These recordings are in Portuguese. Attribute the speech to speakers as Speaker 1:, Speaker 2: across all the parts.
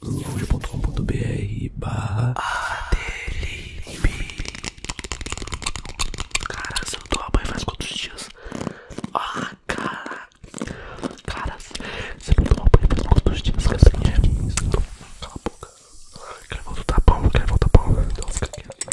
Speaker 1: loja.com.br barra Adelibe Cara, se eu tomar banho faz quantos dias? Ah, cara Cara, se eu tomar banho faz quantos dias? Cara, Cala a boca Quero voltar tá bom, quero voltar tá bom Então fica quieto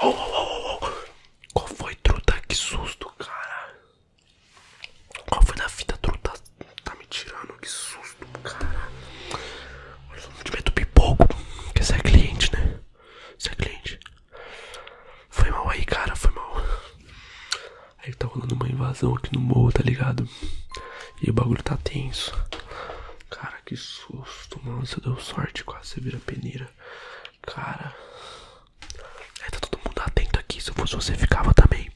Speaker 1: Oh, oh, oh, oh. Qual foi, truta? Que susto, cara. Qual foi da fita, truta? Tá me tirando, que susto, cara. Olha, eu não te do pipoco. Porque você é cliente, né? Você é cliente. Foi mal aí, cara, foi mal. Aí tá rolando uma invasão aqui no morro, tá ligado? E o bagulho tá tenso. Cara, que susto, mano. Você deu sorte, quase você vira peneira. Cara. É, tá todo mundo atento aqui. Se eu fosse você, ficava também.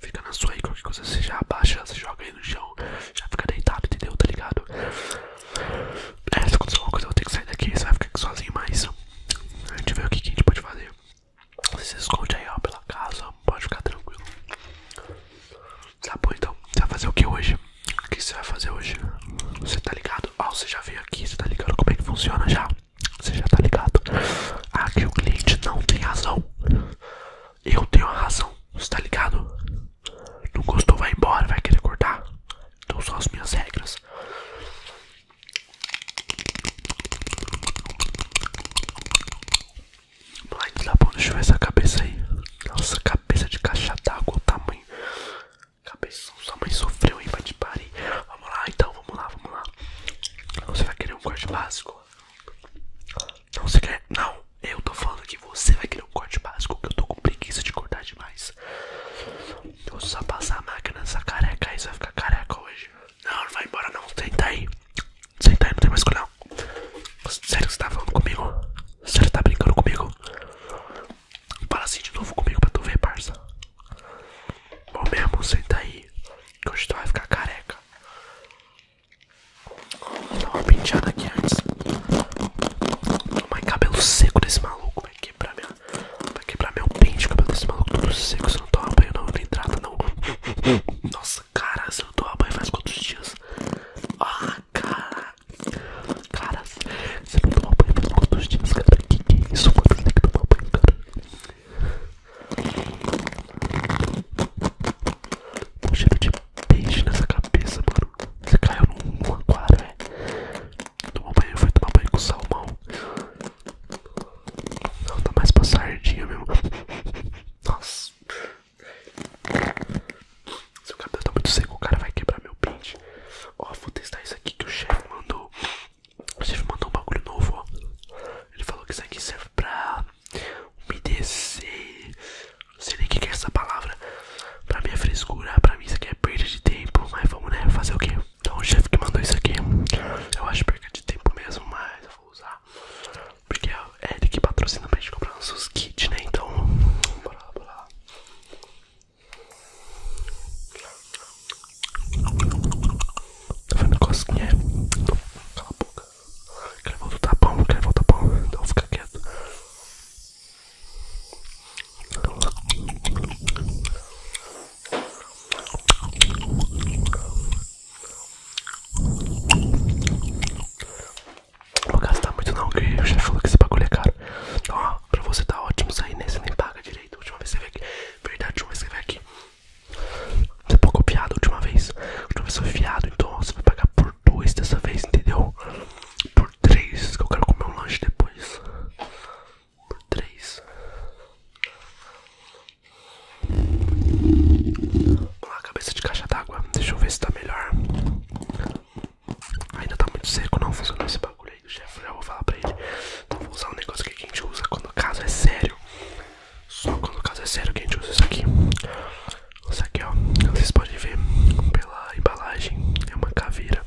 Speaker 1: Fica na sua aí, qualquer coisa. Você já abaixa, você joga aí no chão. Já fica deitado, entendeu? Tá ligado? É, se acontecer alguma coisa, eu vou ter que sair daqui. Você vai ficar aqui sozinho, mas. A gente vê o que, a gente pode fazer. Você se esconde aí, ó, pela casa pode ficar tranquilo. Tá então, você vai fazer o que hoje? O que você vai fazer hoje? Você tá ligado? Ó, você já veio aqui, você tá ligado como é que funciona já? Você já tá ligado? Aqui o cliente não tem razão. Eu tenho a razão, você tá ligado? Não gostou, vai embora, vai querer cortar. Então são as minhas regras. Black da bunda, deixa eu essa cabeça aí. Nossa, cabeça de caixa d'água, o tamanho. Cabeça, sua mãe sofreu, hein? Vai Vamos lá, então, vamos lá, vamos lá. Você vai querer um corte básico? Não, você quer? Não, eu tô falando que você vai querer um corte básico, porque eu tô com preguiça de cortar demais. Eu vou só passar a máquina nessa careca aí, você vai ficar careca hoje. Não, não vai embora não, senta aí. Senta aí, não tem mais escolha não. Sério que você tá falando comigo? Sério que tá brincando comigo? Fala assim de novo comigo pra tu ver, parça. Bom mesmo, senta aí. Que hoje tu vai ficar careca. Vou dar uma penteada aqui antes. Tomar cabelo seco desse maluco. Vai quebrar, minha... vai quebrar meu pente, cabelo desse maluco. Tudo seco, você não toma banho não, entrada não. Nossa cara, se eu tomar banho faz quantos dias? Ah, cara. Cara, se eu tomar banho faz quantos dias, cara? Que que é isso, mano? Você tem que tomar banho, cara. Um cheiro de peixe nessa cabeça, mano. Você caiu num, aquário, é? Tomar banho, foi tomar banho com salmão. Não, tá mais pra sardinha mesmo. Nossa. seu cabelo tá muito seco, o cara vai quebrar meu pente. Ó, vou testar isso aqui que o chefe mandou. O chefe mandou um bagulho novo, ó. Ele falou que isso aqui serve pra umedecer. Não sei nem o que é essa palavra. Pra minha frescura, pra mim isso aqui é perda de tempo. Mas vamos, né? Fazer o quê? Então o chefe que mandou isso aqui, eu acho perda de tempo mesmo, mas eu usar. Porque é ele que patrocina pra gente comprar nossos kits, né? Então, bora lá, bora lá. Tá vendo cosquinha? É? Cala a boca. Quer voltar tá bom, quer voltar tá bom. Então fica quieto. Vou gastar muito não, que eu já falou que esse bagulho é caro. Então, ó, pra você tá ótimo sair, né? Você nem paga direito. Última vez você veio aqui. Verdade, última vez você veio aqui. Você pouco piado a última vez. A última vez sou fiado, então você vai pagar por dois dessa vez, entendeu? Por três, que eu quero comer um lanche depois. Por três. Vamos lá, cabeça de caixa d'água. Deixa eu ver se tá melhor. Ainda tá muito seco, não funcionou esse bagulho aí do chefe. Já vou falar pra ele. Então vou usar um negócio que a gente usa quando o caso é sério. Só quando o caso é sério que a gente usa isso aqui. Isso aqui, ó. Vocês podem ver pela embalagem. É uma caveira.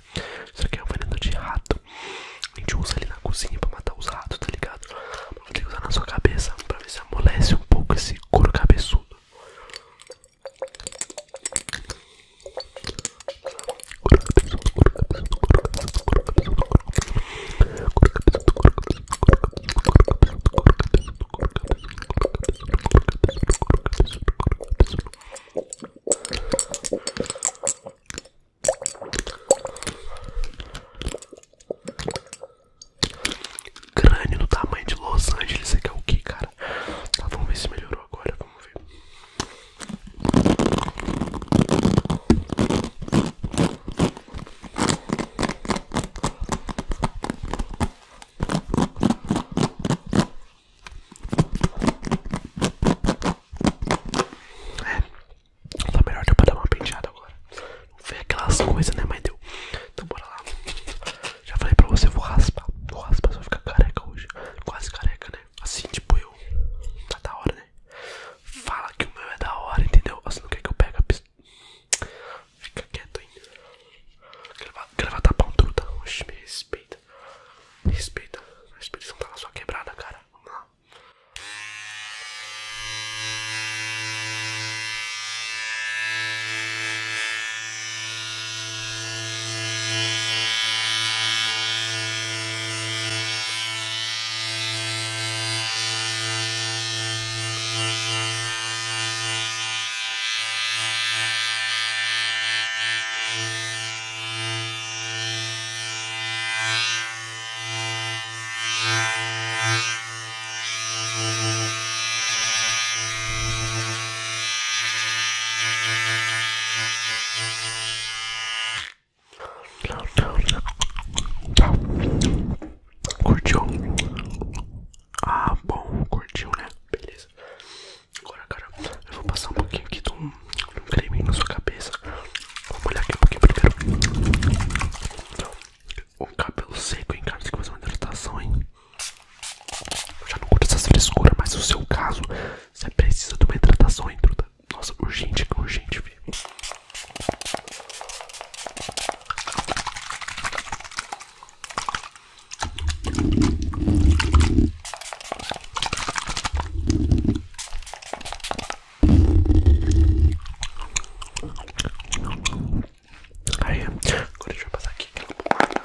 Speaker 1: Isso aqui é um veneno de rato. A gente usa ali na cozinha para matar os ratos, tá ligado? Vou ter que usar na sua cabeça para ver se amolece um pouco esse couro cabeçudo. Crânio do tamanho de Los Angeles, você é o que, cara? Tá, vamos ver se melhorou agora, vamos ver. É, tá melhor deu pra dar uma penteada agora. Não foi aquelas coisas, né? Mas deu. Então bora lá. Já falei pra você, eu vou raspar. Vou raspar, só ficar careca hoje. Quase careca, né? Assim, tipo eu. Tá da hora, né? Fala que o meu é da hora, entendeu? assim não quer que eu pegue a pistola? Fica quieto ainda. Quer levar tapão, truta? Oxe, me respeita respeita. Me respeita. A respiração tá na sua quebrada, cara. Vamos lá. Curtiu? Ah, bom, curtiu, né? Beleza. Agora, cara, eu vou passar um pouquinho aqui de um, de creme na sua cabeça. Vamos olhar aqui um pouquinho primeiro. Então, o cabelo seco, hein, cara? Tem que fazer uma hidratação, hein? Eu já não curto essas frescura mas no seu caso, você precisa de uma hidratação, hein, Truta? Nossa, urgente, urgente, filho. Aí, agora deixa eu passar aqui aquela pomada.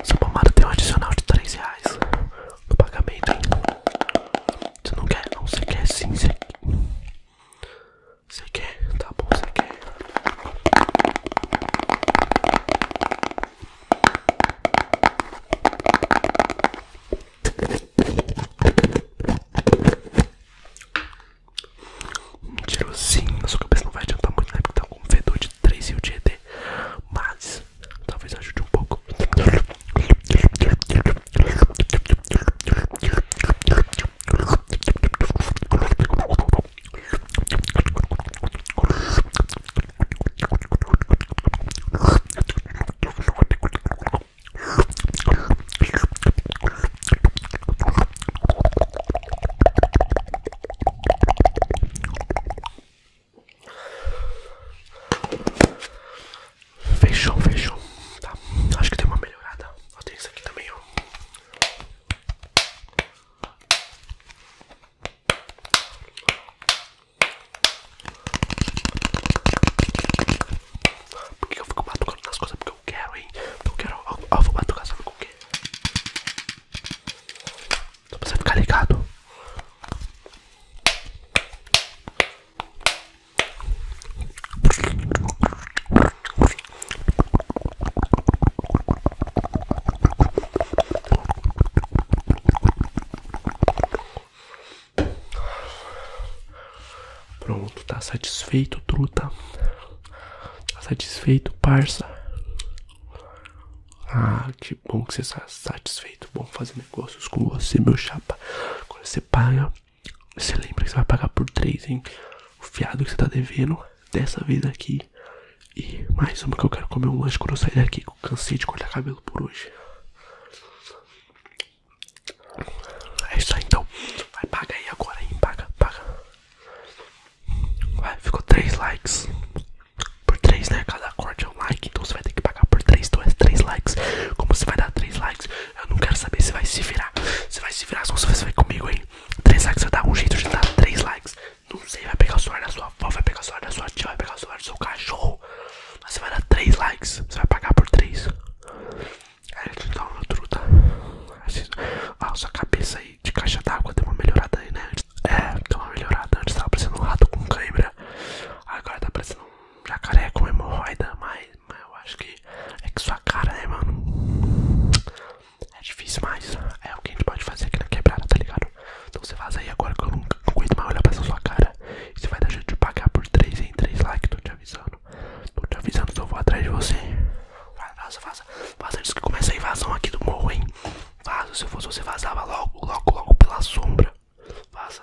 Speaker 1: Essa pomada tem um adicional de 3 reais no pagamento. Você não quer? Não, você quer sim, Você quer? Tá bom, você quer um Tirozinho, na sua cabeça não vai adiantar muito, né? Porque tá um fedor de três e o de ED. Mas talvez ajude um pouco. Fechou, fechou. Tá, acho que tem uma melhorada. Ó, tem isso aqui também, por que eu fico batucando as coisas? Porque eu quero, hein? Eu quero. Ó, ó vou batucar, sabe com o quê? Só pra você ficar ligado. Pronto, tá satisfeito, truta? Tá satisfeito, parça? Ah, que bom que você está satisfeito. Bom fazer negócios com você, meu chapa. Quando você paga, você lembra que você vai pagar por três, hein? O fiado que você está devendo, dessa vez aqui, e mais uma que eu quero comer um lanche quando eu sair daqui, que eu cansei de cortar cabelo por hoje. É isso aí então. Vai, paga aí agora, hein? Paga, paga. Vai, ficou 3 likes. Por 3, né? Cada corte é um like, então você vai ter que pagar por 3, então é 3 likes. Como você vai dar 3 likes? Eu não quero saber se vai se virar. Você vai se virar, só se você vai comigo, aí 3 likes vai dar um jeito de dar 3 likes. Não sei, vai pegar o celular da sua avó, vai pegar o celular da sua tia, vai pegar o celular do seu cachorro. Mas você vai dar 3 likes, você vai pagar por 3. Aí eu te dou uma truta. Tá? Assim, ah, sua cabeça aí de caixa d'água tem uma melhorada aí, né? É, tem uma melhorada. Antes tava parecendo um rato com cãibra Agora tá parecendo um jacaré com hemorroida. Mas, mas eu acho que é que sua cara, né, mano? é difícil, mas é o que a gente pode fazer aqui na quebrada, tá ligado? Então você vaza aí agora que eu não aguento mais olhar pra sua cara. você vai dar jeito de pagar por 3 em 3 likes, tô te avisando. Tô te avisando que eu vou atrás de você. Vai, vaza, vaza. Vaza antes que começa a invasão aqui do morro, hein? Vaza, se eu fosse você vazava logo, logo, logo pela sombra. Vaza.